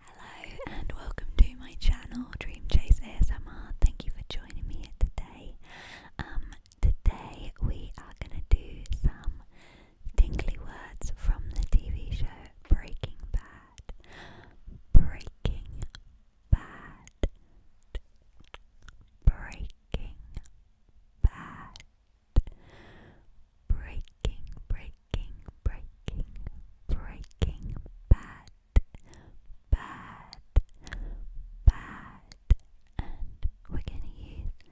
Hello and welcome to my channel Dream Chase ASMR. Thank you for joining me today. Um, today we are gonna do some tingly words from the TV show Breaking Bad. Breaking Bad. Breaking Bad breaking, breaking, breaking, breaking, bad, bad, bad, and we're going to use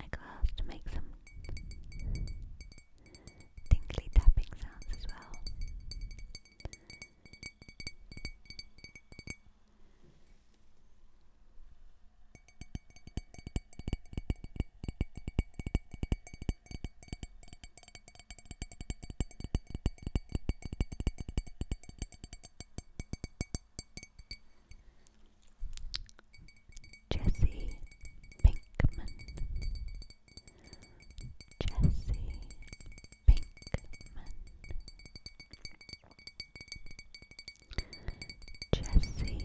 a glass to make some tingly tapping sounds as well. Jesse Pinkman. Jesse Pinkman. Jesse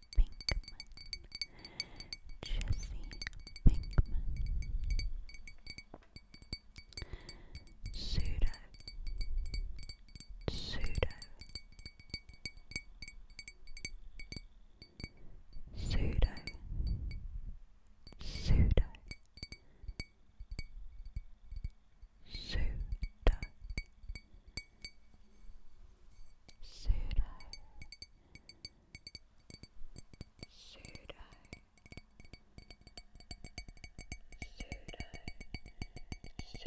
Pinkman, Jesse Pinkman, Pseudo, Pseudo, Pseudo, Pseudo. Pseudo, Pseudo Pseudo Pseudo Pseudo Pseudo Pseudo Pseudo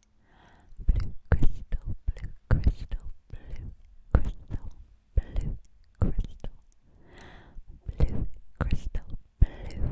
Blue crystal, blue crystal, blue crystal, blue crystal, blue crystal, blue. Crystal blue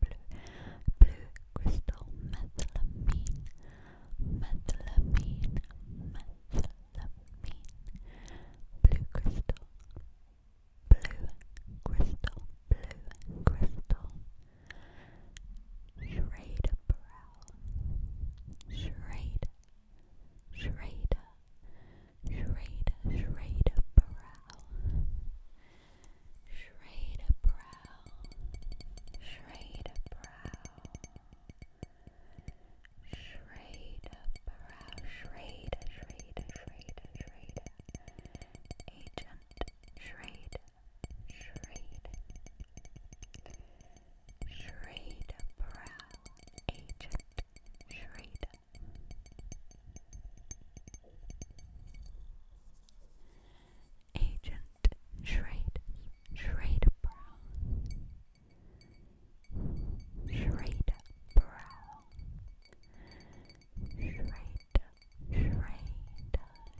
blue, blue crystal methylamine, methylamine, methylamine, blue crystal, blue crystal, blue crystal, Schrader brow, Schrader, Schrader, Schrader, Schrader brow. Shade a brow, shade a brow, shade a brow, shade, shade, shade, shade, agent, shade, shade, shade a brow, agent, shade. Agent Schrade, Schrade Brown, Schrade Brown, Schrade, Schrade,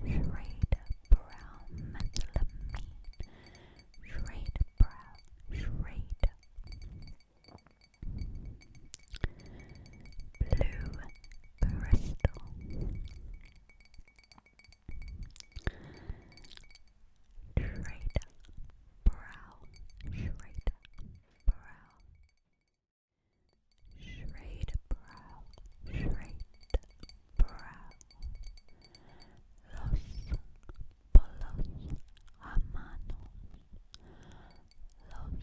Schrade Brown, Methylamine, Schrade Brown, Schrade. Blue Bristol. Trader Brow, Schrader Brow, Schrader Brow, Schrader Brow, Los Polos Hermanos, Los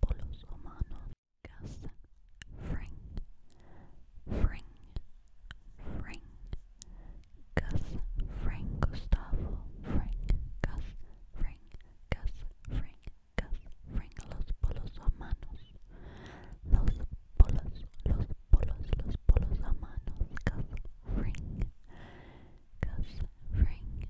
polos humanos. gas, fring, fring, fring. Gas, fring, Gustavo, fring, gas, fring, gas, fring, gas, fring. Los polos humanos. Los polos, los polos, los polos manos, Gas, fring. Gas, fring,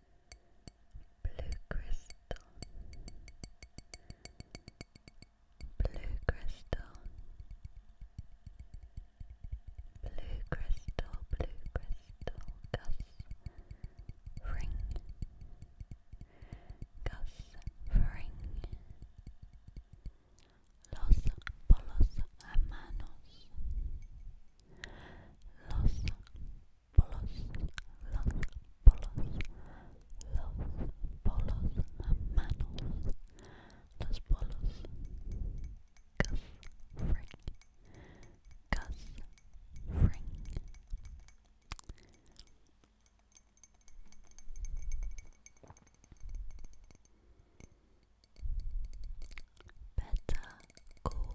blue crystal, blue crystal, blue crystal, blue crystal, gus ring, gus ring, los polos hermanos. Los polos, los polos, los polos, manos, los polos, cuff ring, cuff ring. Better call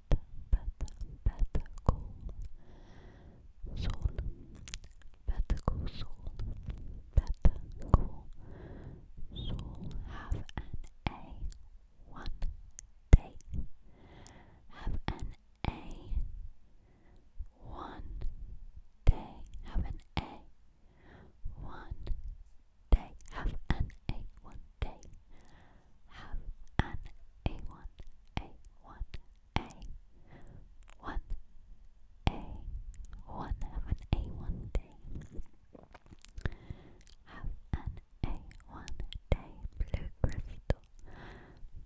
soul. Have an A one day. Have an A one day. Have an A one day. Have an A one day have an A1, A1, A, one, A, one, have an A1 day. Have an A1 day, blue crystal,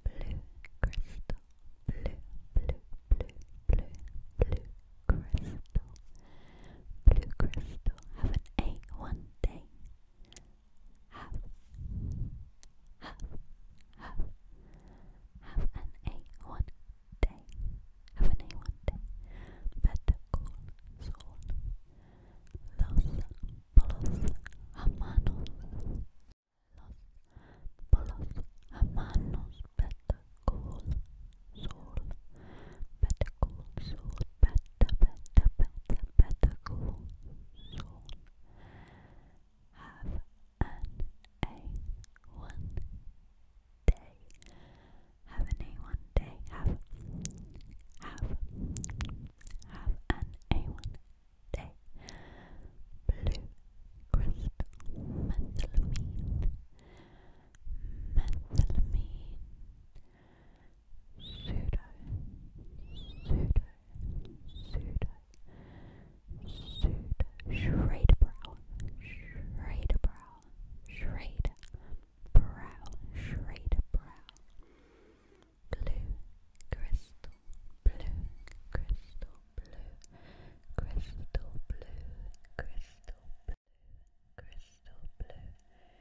blue crystal, blue, blue, blue, blue, blue crystal, blue crystal, have an A1 day have, have, have, have an A1 day, have an A1 day, better call Saul, Los Polos Hermanos, Los Polos Hermanos, better call Saul, better call Saul, better tabernacle zone have an A one day have an A one day have have have an A one day blue crystal methylamine methylamine pseudo, pseudo, pseudo, pseudo, Shrade brow, Shrade brow, Shrade brow, Shrade brow, blue crystal, blue crystal, blue crystal, blue crystal, blue crystal, blue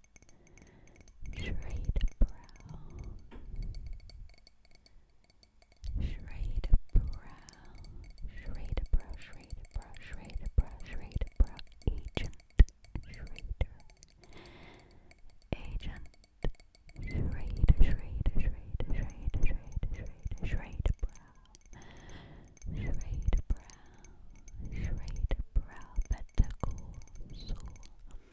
Shade brown, shade brown, shade brow, shade brow, shade brow, shade brow, agent, shrader, agent, shade, shade, shade, shade, shade, shade, shade brow, shade brow, shade brow, pentacle, soul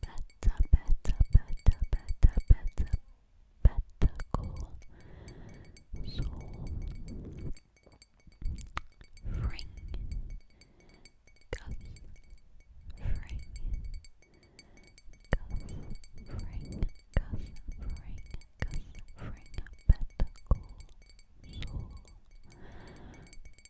better, better, better, better, better, better goal. So ring, cuff, ring, cuff, ring, cuff, ring, cuff, ring, better goal. So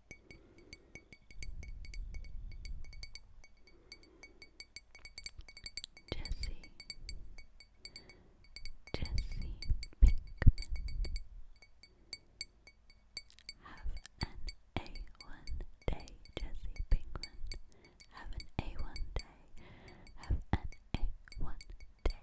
Jesse Jesse Pinkman Have an A1 day, Jesse Pinkman. Have an A1 day. Have an A1 day.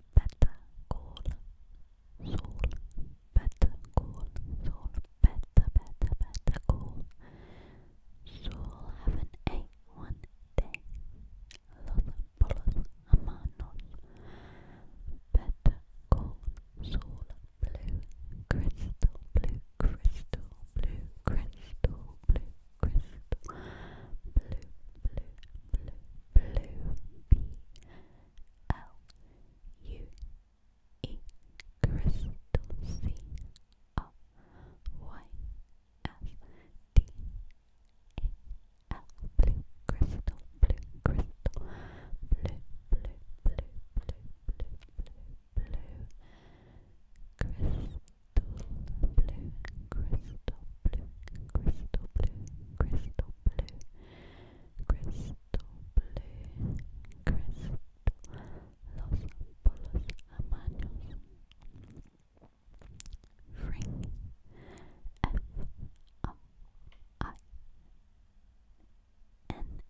better call Saul. Better call Saul. Better, better, better call Saul. Have an A one day. Los polos amanos. Better call Saul. Blue crystal. Blue crystal. Blue crystal. Blue crystal. Blue, blue, blue blue, B L U E, crystal, C R Y S D A L, blue crystal, blue crystal, blue, blue, blue, blue, blue, blue, crystal, blue crystal, blue crystal blue, crystal blue, crystal blue, crystal, los polos amaños, ring, F O I N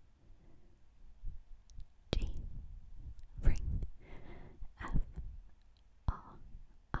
G, ring, F R I